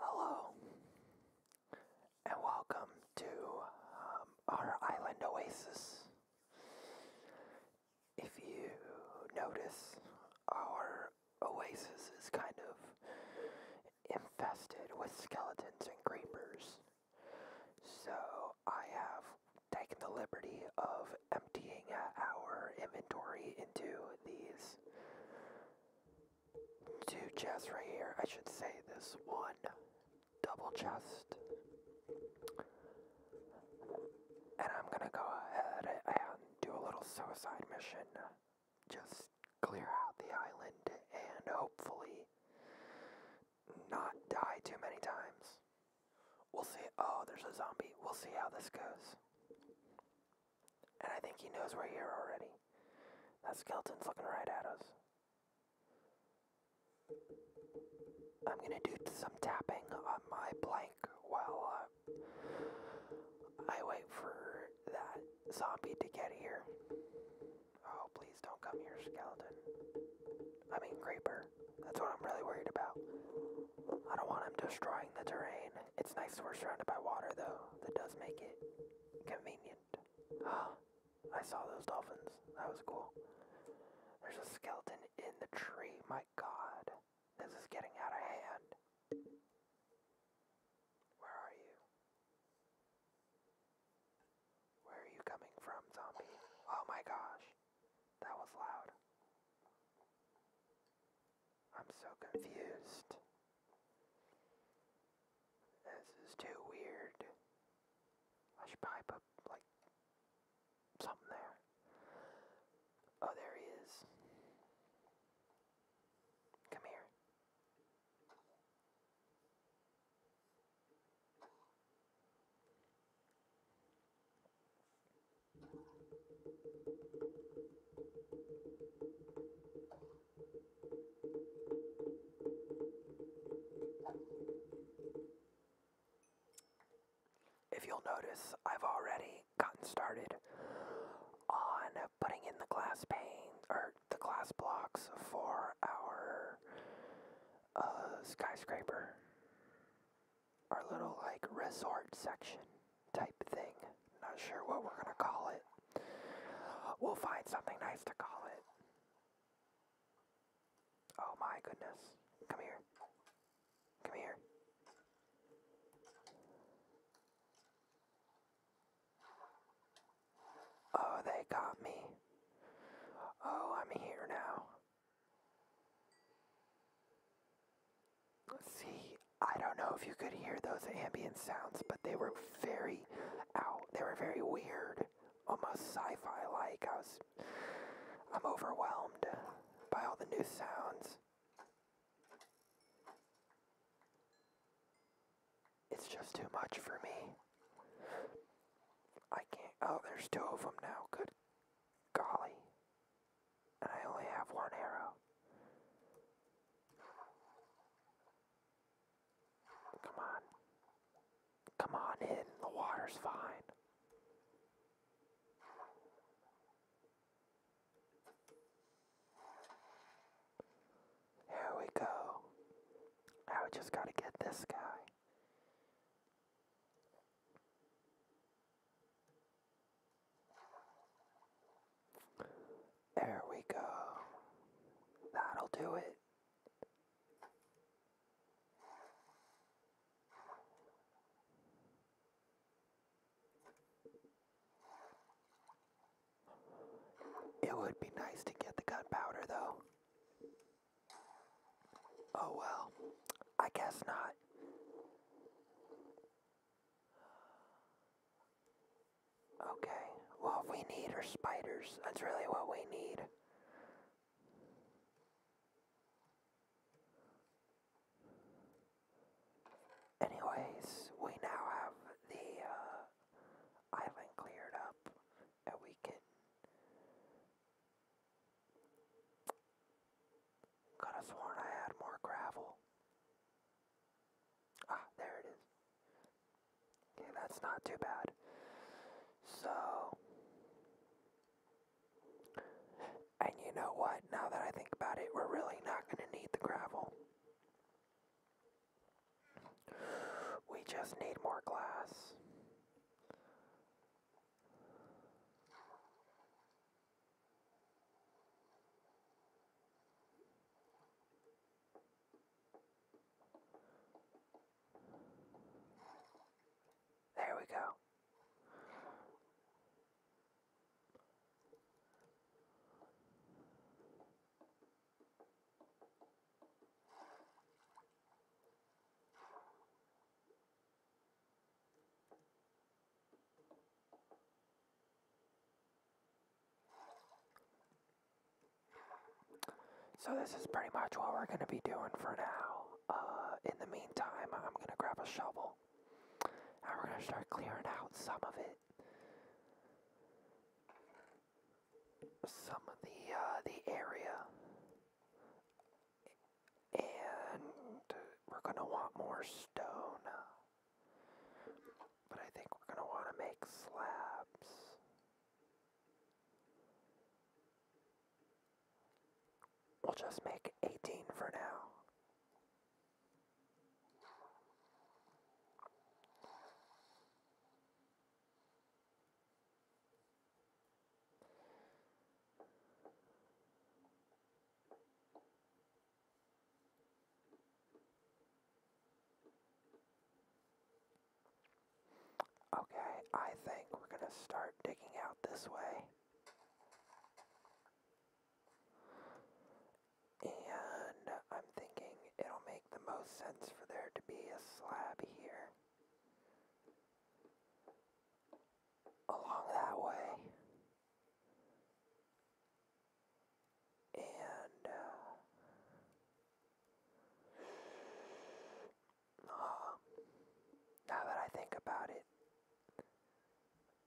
Hello, and welcome to um, our island oasis. If you notice, our oasis is kind of infested with skeletons and creepers. So I have taken the liberty of emptying our inventory into these two chests right here. I should say this one double chest. And I'm gonna go ahead and do a little suicide mission. Just clear out the island and hopefully not die too many times. We'll see. Oh, there's a zombie. We'll see how this goes. And I think he knows we're here already. That skeleton's looking right at us. I'm gonna do some tapping on my blank while uh, I wait for that zombie to get here. Oh, please don't come here, skeleton. I mean, creeper. That's what I'm really worried about. I don't want him destroying the terrain. It's nice we're surrounded by water, though. That does make it convenient. Ah, I saw those dolphins. That was cool. There's a skeleton in the tree. My god. This is getting out of hand. Where are you? Where are you coming from, zombie? Oh my gosh, that was loud. I'm so confused. This is too weird. I should probably put, like, something there. Oh, there he is. Come here. If you'll notice, I've already gotten started on putting in the glass pane or the glass blocks for our uh, skyscraper. Our little like resort section type thing. Not sure what we're gonna call it. We'll find something nice to call it. Oh my goodness. Come here. Come here. Oh, they got me. Oh, I'm here now. See, I don't know if you could hear those ambient sounds, but they were very out. They were very weird, almost sci-fi like. I was I'm overwhelmed by all the new sounds. It's just too much for me. I can't. Oh, there's two of them now. Good golly. And I only have one arrow. Come on. Come on in. The water's fine. Here we go. Now we just gotta get this guy. There we go. That'll do it. It would be nice to get the gunpowder, though. Oh well, I guess not. Okay, well, we need are spiders. That's really what we need. Anyways, we now have the uh, island cleared up and we can could have sworn I had more gravel. Ah, there it is. Okay, that's not too bad. So and you know what? Now that I think about it, we're really not going to need the gravel. We just need more glass. There we go. So this is pretty much what we're going to be doing for now. Uh, in the meantime, I'm going to grab a shovel and we're going to start clearing out some of it some of the uh, the area, and we're gonna want more stone. But I think we're gonna want to make slabs. We'll just make 18 for now. Okay, I think we're going to start digging out this way. And I'm thinking it'll make the most sense for there to be a slab here. Along that way. And, uh, now that I think about it,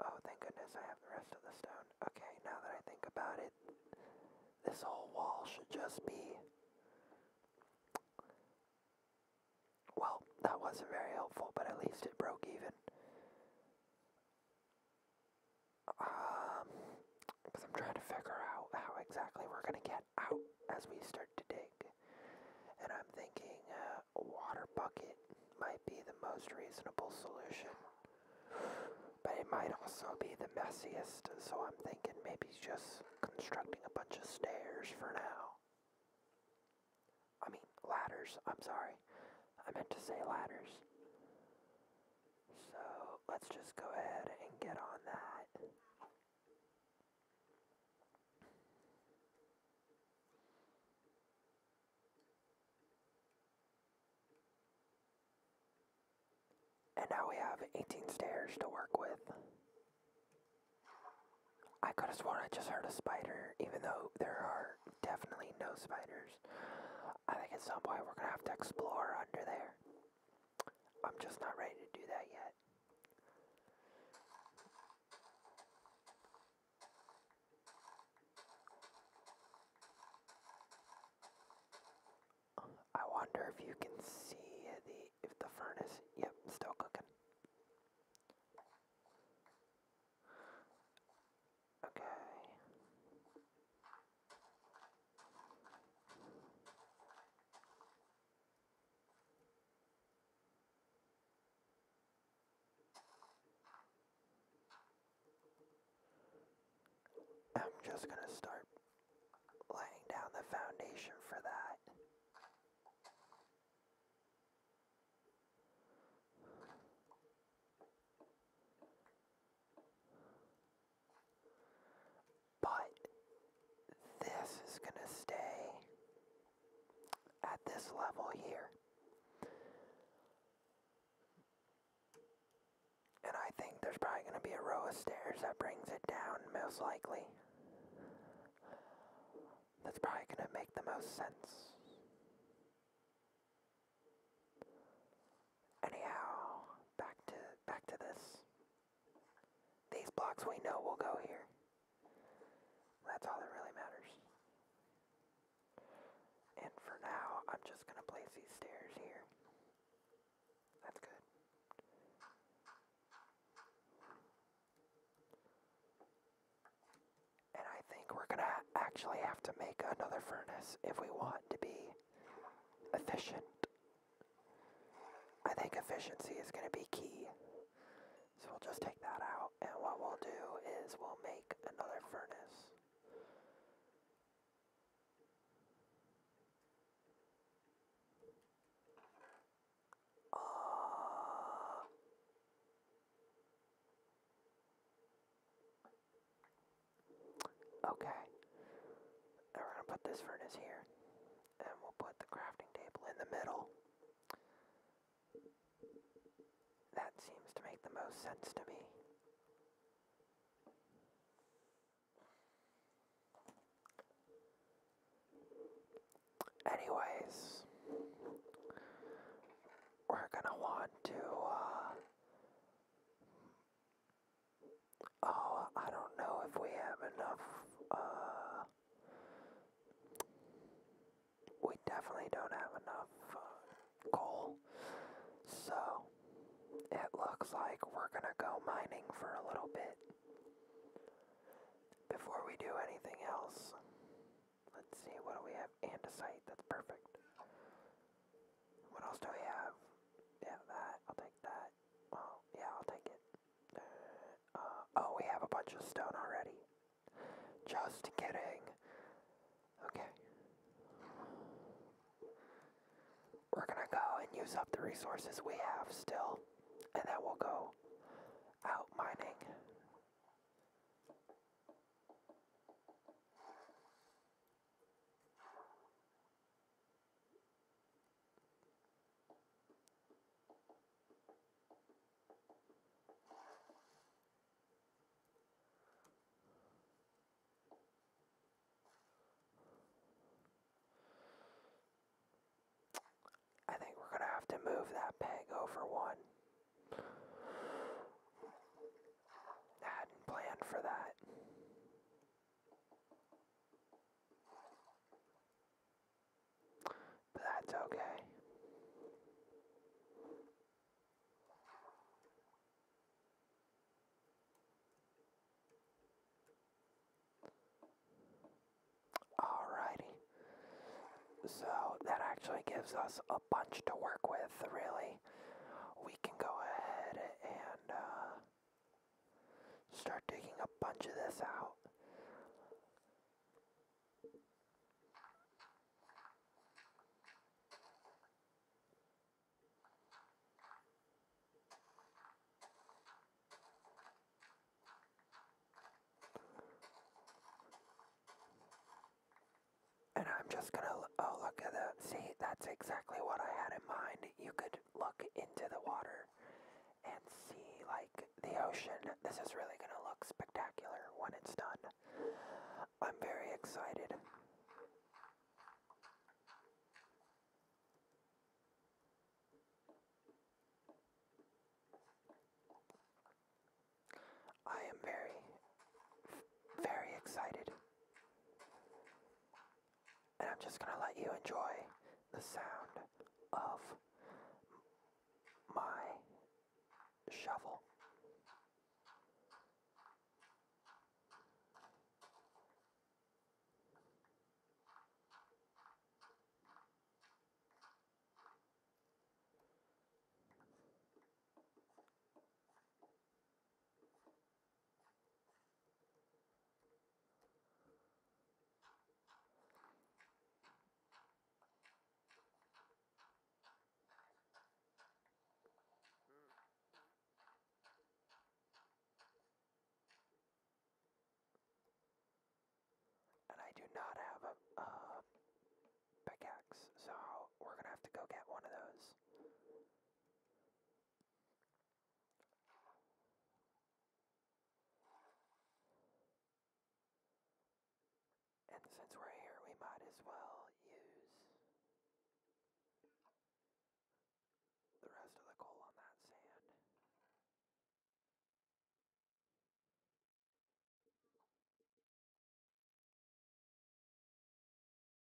Oh, thank goodness I have the rest of the stone. Okay, now that I think about it, this whole wall should just be... Well, that wasn't very helpful, but at least it broke even. Um, because I'm trying to figure out how exactly we're going to get out as we start to dig. And I'm thinking, uh, a water bucket might be the most reasonable solution. But it might also be the messiest, so I'm thinking maybe just constructing a bunch of stairs for now. I mean, ladders, I'm sorry. I meant to say ladders. So let's just go ahead and get on that. And now we have 18 stairs to work with. I could have sworn I just heard a spider, even though there are definitely no spiders. I think it's some point we're gonna have to explore under there. I'm just not ready to do that yet. I wonder if you can see the if the furnace. Yep, still cooking. Okay. I'm just going to start laying down the foundation for that. But this is going to stay at this level here. And I think there's probably going to be a row of stairs that brings it down, most likely. That's probably going to make the most sense. Anyhow, back to back to this. These blocks we know will go here. That's all that really matters. And for now, I'm just gonna place these stairs here. That's good. And I think we're gonna actually have to make another furnace if we want to be efficient. I think efficiency is gonna be key so we'll just take that out, and what we'll do is we'll make another furnace. Uh, okay. we're gonna put this furnace here and we'll put the crafting table in the middle. That seems to make the most sense to me. Anyways, we're gonna want to, uh, oh, I don't know if we have enough, uh, we definitely don't have enough uh, coal. So, it looks like we're gonna go mining for a little bit. Before we do anything else, let's see, what do we have? Andesite, that's perfect. What else do we have? Yeah, that, I'll take that. Well, yeah, I'll take it. Uh, oh, we have a bunch of stone already. Just kidding. Okay. We're gonna go and use up the resources we have still, and then we'll go out mining. I think we're going to have to move that peg over one. I hadn't planned for that that's okay. Alrighty. So that actually gives us a bunch to work with, really. We can go ahead and uh, Start digging a bunch of this out. And I'm just gonna, oh look at that, see, that's exactly what I had in mind. You could look into the water and see like the ocean. This is really going to look spectacular when it's done. I'm very excited. I am very, very excited and I'm just gonna let you enjoy the sound of my shovel. And I do not have a, pickaxe, so we're gonna have to go get one of those. And since we're here, we might as well use the rest of the coal on that sand.